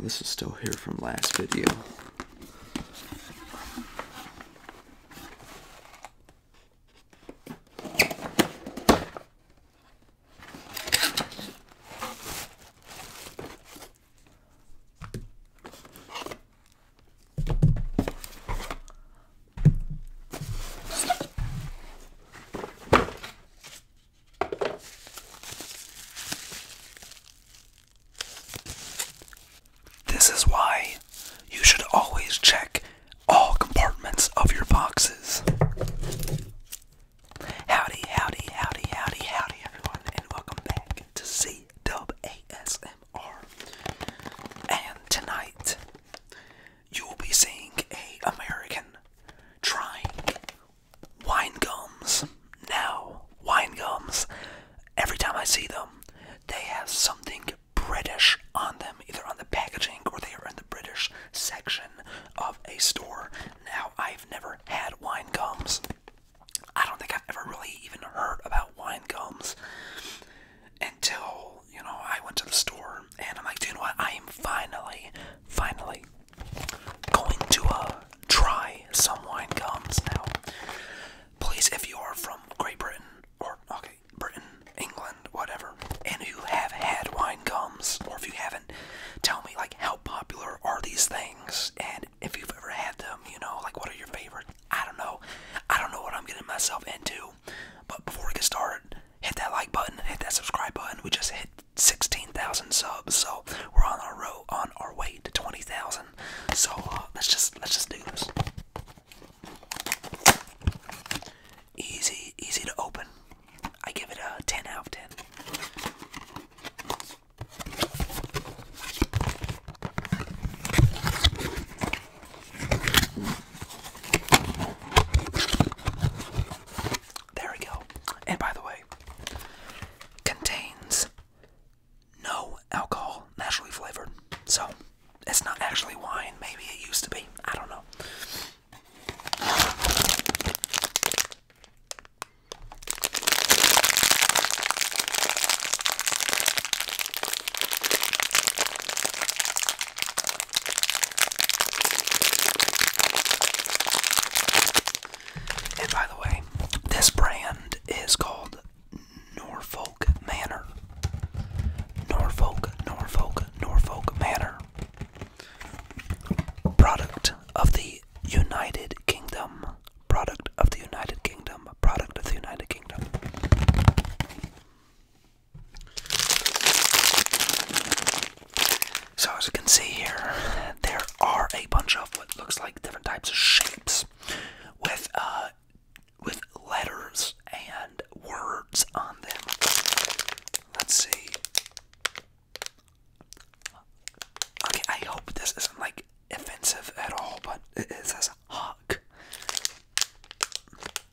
this is still here from last video. This is why you should always check all compartments of your boxes. Howdy, howdy, howdy, howdy, howdy, everyone, and welcome back to Z And tonight, you will be seeing a American trying wine gums. Now, wine gums. Every time I see them, they have something British on them, either on the packaging or they are in the British section of a store. Now, I've never had wine gums. I don't think I've ever really even heard about wine gums until, you know, I went to the store and I'm like, dude, you know what? I am finally, finally going to uh, try some wine gums now. Please, if you are from Great Britain or okay, Britain, England, whatever, and you have had wine gums, or if you haven't, tell me like how popular are these things, and if you've ever had them, you know, like what are your favorite? I don't know. I don't know what I'm getting myself into. But before we get started, hit that like button, hit that subscribe button. We just hit 16,000 subs, so we're on our road, on our way to 20,000. So uh, let's just let's just do this. Easy, easy to open. I give it a 10 out of 10. There we go. And by the way, contains no alcohol, naturally flavored. So it's not actually wine. Maybe it used to be. I don't know. And by the way, this brand is called Norfolk Manor. Norfolk, Norfolk, Norfolk Manor. Product of the United Kingdom. Product of the United Kingdom. Product of the United Kingdom. So, as you can see here, there are a bunch of what looks like different types of shapes with uh, with letters and words on them. Let's see. Okay, I hope this isn't like offensive at all, but it, it says hug.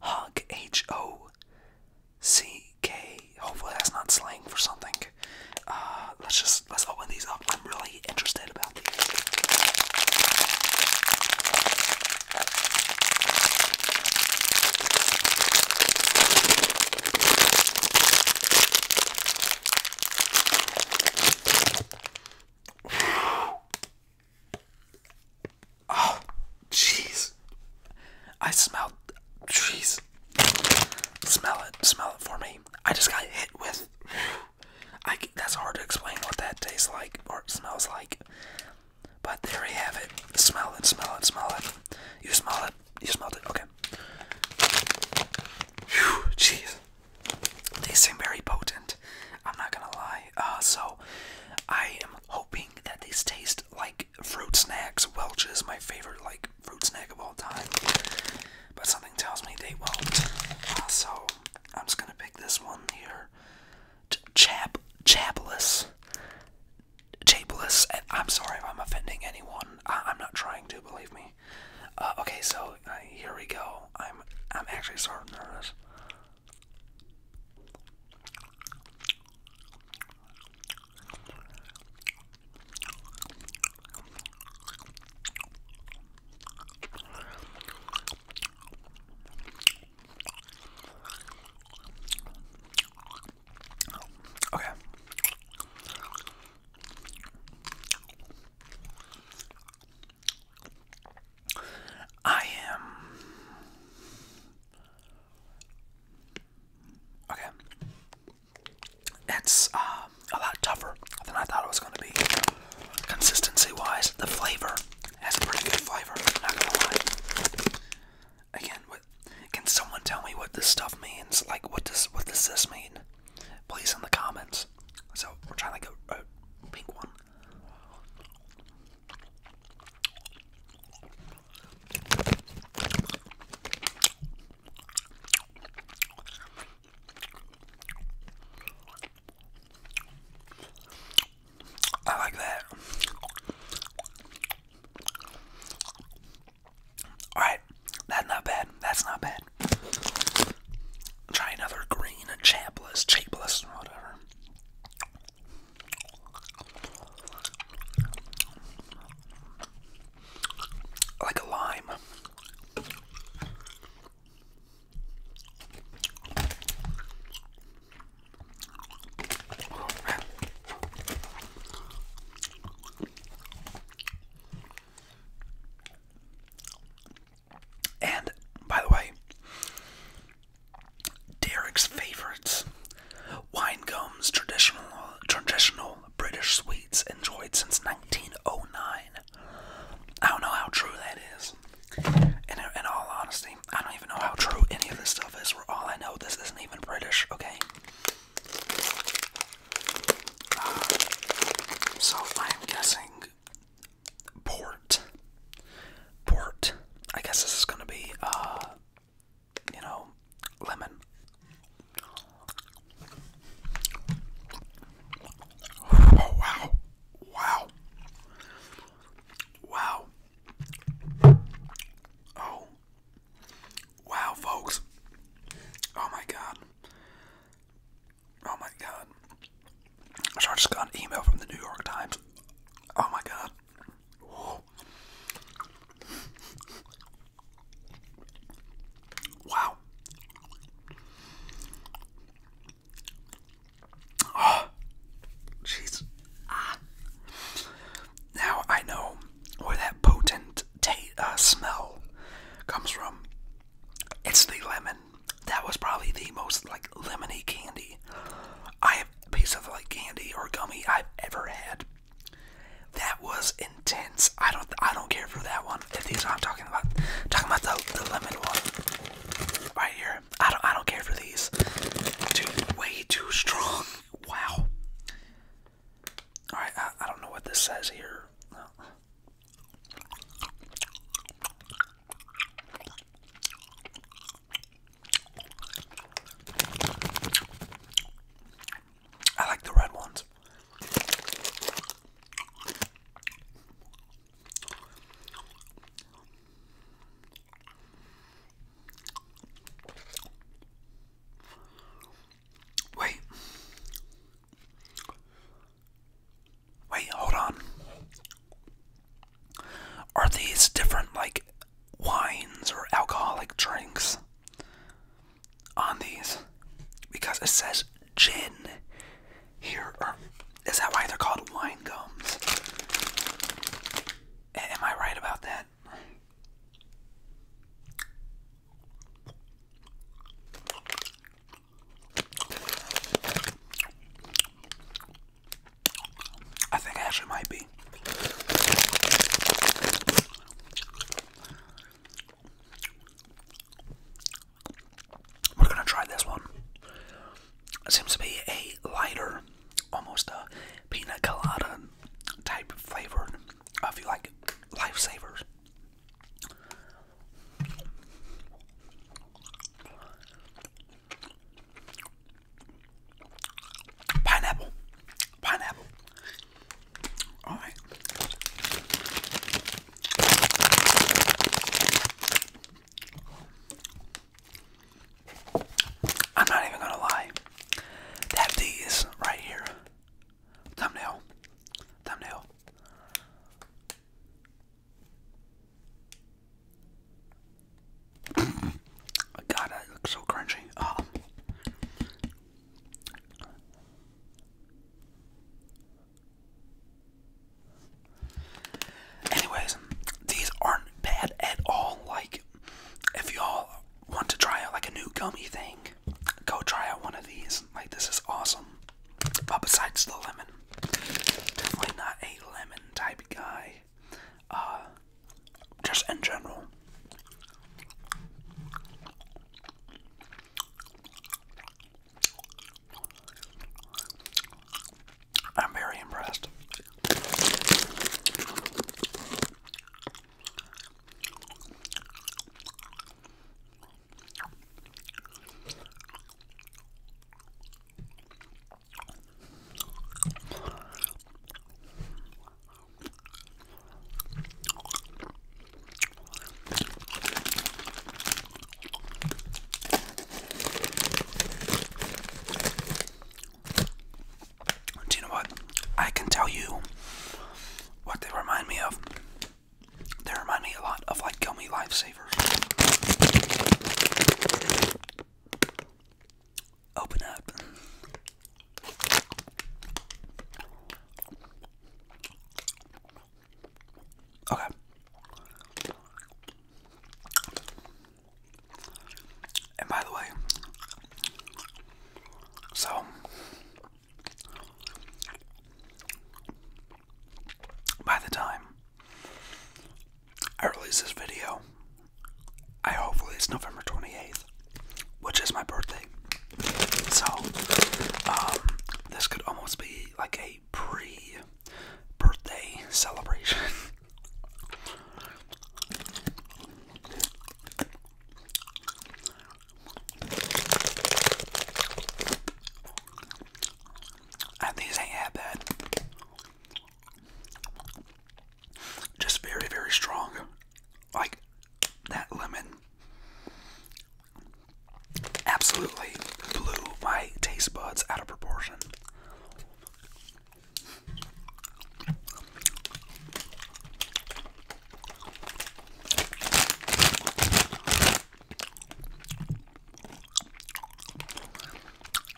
Hug H O C K. Hopefully that's not slang for something. Uh, let's just let's open these up. I'm really interested about these. Oh, jeez. I smelled trees. Smell it. Smell it for me. I just got hit with. I that's hard to explain what that tastes like or smells like. But there you have it. Smell it, smell it, smell it. You smell it. You smelled it. Okay. jeez. They seem very potent. I'm not gonna lie. Uh, so I am hoping that these taste like fruit snacks. Welch is my favorite like fruit snack of all time, but something tells me they won't. Uh, so I'm just gonna pick this one here, Ch Chap Chapless. Chapless. I'm sorry if I'm offending anyone. I am not trying to. Believe me. Uh, okay, so uh, here we go. I'm I'm actually sort of nervous. Okay. I am okay it's um, a lot tougher than I thought it was going to be. Consistency-wise, the flavor has a pretty good flavor. Not gonna lie. Again, what, can someone tell me what this stuff means? Like, what does what does this mean? Please in the comments. So we're trying to go a pink one. I like that. Alright, that's not bad. That's not bad. Try another green chapless, chapeless, whatever. Like a lime. And by the way, Derek's favorites wine gums, traditional traditional British sweets enjoyed since 1909. I don't know how true that is. And in, all honesty, I don't even know how true any of this stuff is. For all I know, this isn't even British. Okay. Uh, so I'm guessing port. Port. I guess this is gonna be uh, you know, lemon. Oh, wow. Wow. Wow. Oh. Wow, folks. Oh my god. Oh my god. I just got an email from the New York Times. Oh my god. Wow. Oh, jeez. Ah. Now I know where that potent taste, uh, smell comes from. It's the lemon. That was probably the most like lemony candy I have piece of like candy or gummy I've ever had. That was intense. I don't I don't care for that one. These are I'm talking about. talking about the, the lemon one right here. I don't I don't care for these. Dude, way too strong. Wow. All right, I, don't know what this says here. I like the red ones. Wait. Wait, hold on. Are these different, like, wines or alcoholic drinks on these? Because it says gin here, is that why they're called wine gums? Am I right about that? I think I actually might be. We're gonna try this one. It seems to be a lighter, almost a pina colada type flavor. If you like lifesavers. Pineapple. Pineapple. Alright. I'm not even gonna lie. That D is right here. Thumbnail. Thumbnail. God, that looks so crunchy. Oh. Anyways, these aren't bad at all. Like, if y'all want to try out like a new gummy thing, go try out one of these. Like, this is awesome. But besides the lemon, definitely not a lemon type guy. Uh, just in general. I'm very impressed. Do you know what? I can tell you what they remind me of. They remind me a lot of like gummy lifesavers. Open up. Okay. And by the way, so by the time I release this video, I hopefully it's November 28th, which is my birthday. So, um, this could almost be like a pre birthday celebration. And these ain't bad. Just very, very strong. Like that lemon absolutely blew my taste buds out of proportion.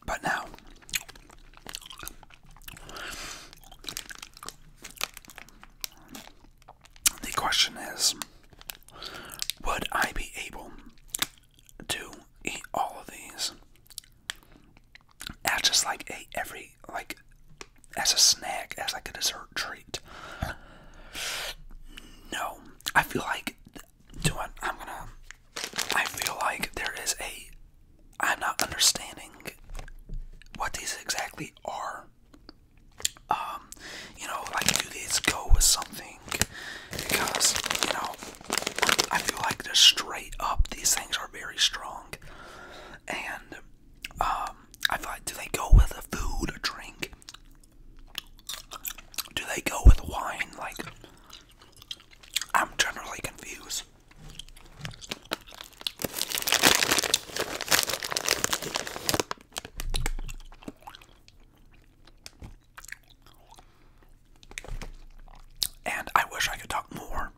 But now, the question is Would I be able to eat all of these. I just like eat every like as a snack, as like a dessert treat. No, I feel like doing. I'm gonna. I feel like there is a. I'm not understanding what these exactly are. Um, you know, like do these go with something? because you know I feel like they're straight up these things are very strong, and um, I thought, do they go with a food or drink? Do they go with wine? Like I'm generally confused. And I wish I could talk more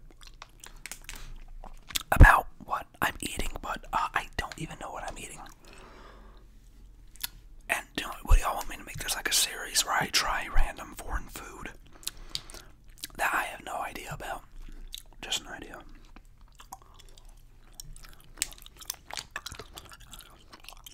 about what I'm eating, but uh, I don't even know what I'm eating. And what do y'all want me to make this like a series where I try random foreign food that I have no idea about? Just an idea.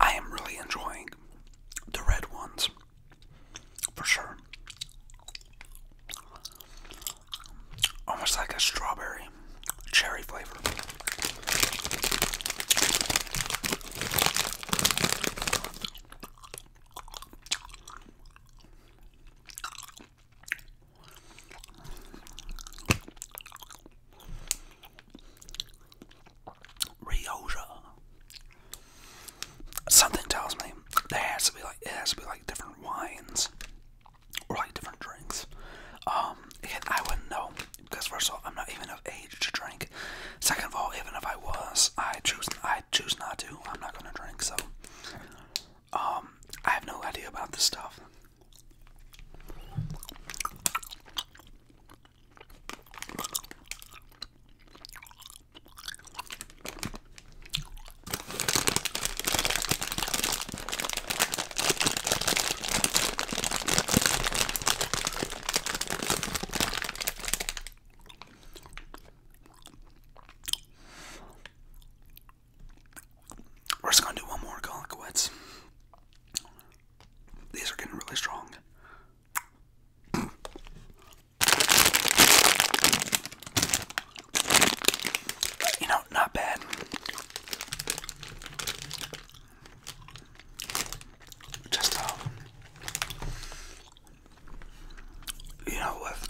I am really enjoying the red ones for sure. Almost like a strawberry cherry flavor. Rioja. Something tells me there has to be like it has to be like different wines or like different drinks. Um, and I wouldn't know because first of all, I'm not even of age to drink. Second of all, even if I was, I choose I choose not to. I'm not gonna drink, so um, I have no idea about this stuff. We're just gonna do one more Colquets. These are getting really strong. You know, not bad. Just, um, you know, with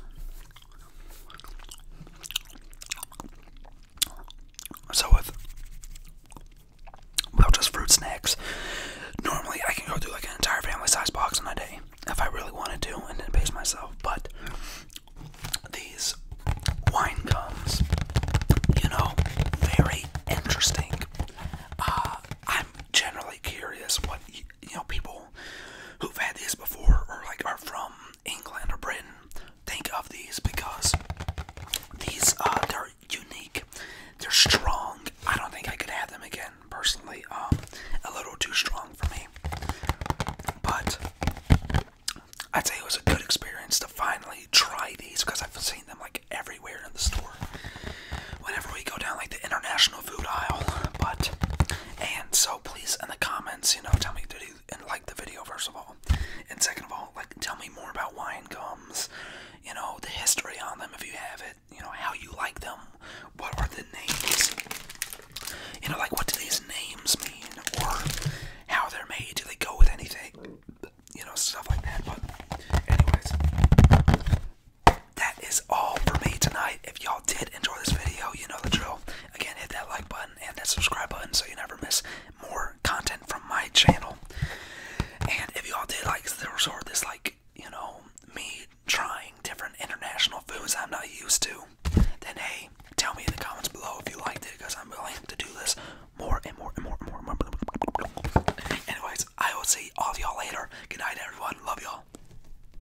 so with well, just fruit snacks. Normally, I can go through like an entire family size box in a day if I really wanted to and didn't pace myself. But these wine gums, you know, very interesting. Uh, I'm generally curious what you know people who've had these before or like are from England or Britain think of these because these uh, they're unique. They're strong. I don't think I could have them again personally. Um a little too strong for me. But I'd say it was a good experience to finally try these because I've seen them like everywhere in the store. Whenever we go down like the international food aisle, but and so please in the comments, you know, tell me did you like the video first of all, and second of all, like tell me more about wine gums, you know, the history on them if you have it, you know, how you like them, what are the names, you know, like what do these names mean, or how they're made, do they go with anything, you know, stuff like that. But anyways, that is all for me tonight. If y'all did enjoy this video, you know the drill. Again, hit that like button and that subscribe button so you never miss more content from my channel. And if y'all did like this or this, like, you know, me trying different international foods I'm not used to, then hey, tell me in the comments below if you liked it because I'm willing to do this more and more and more and more. And more. Anyways, I will see all of y'all later. Good night, everyone. Love y'all.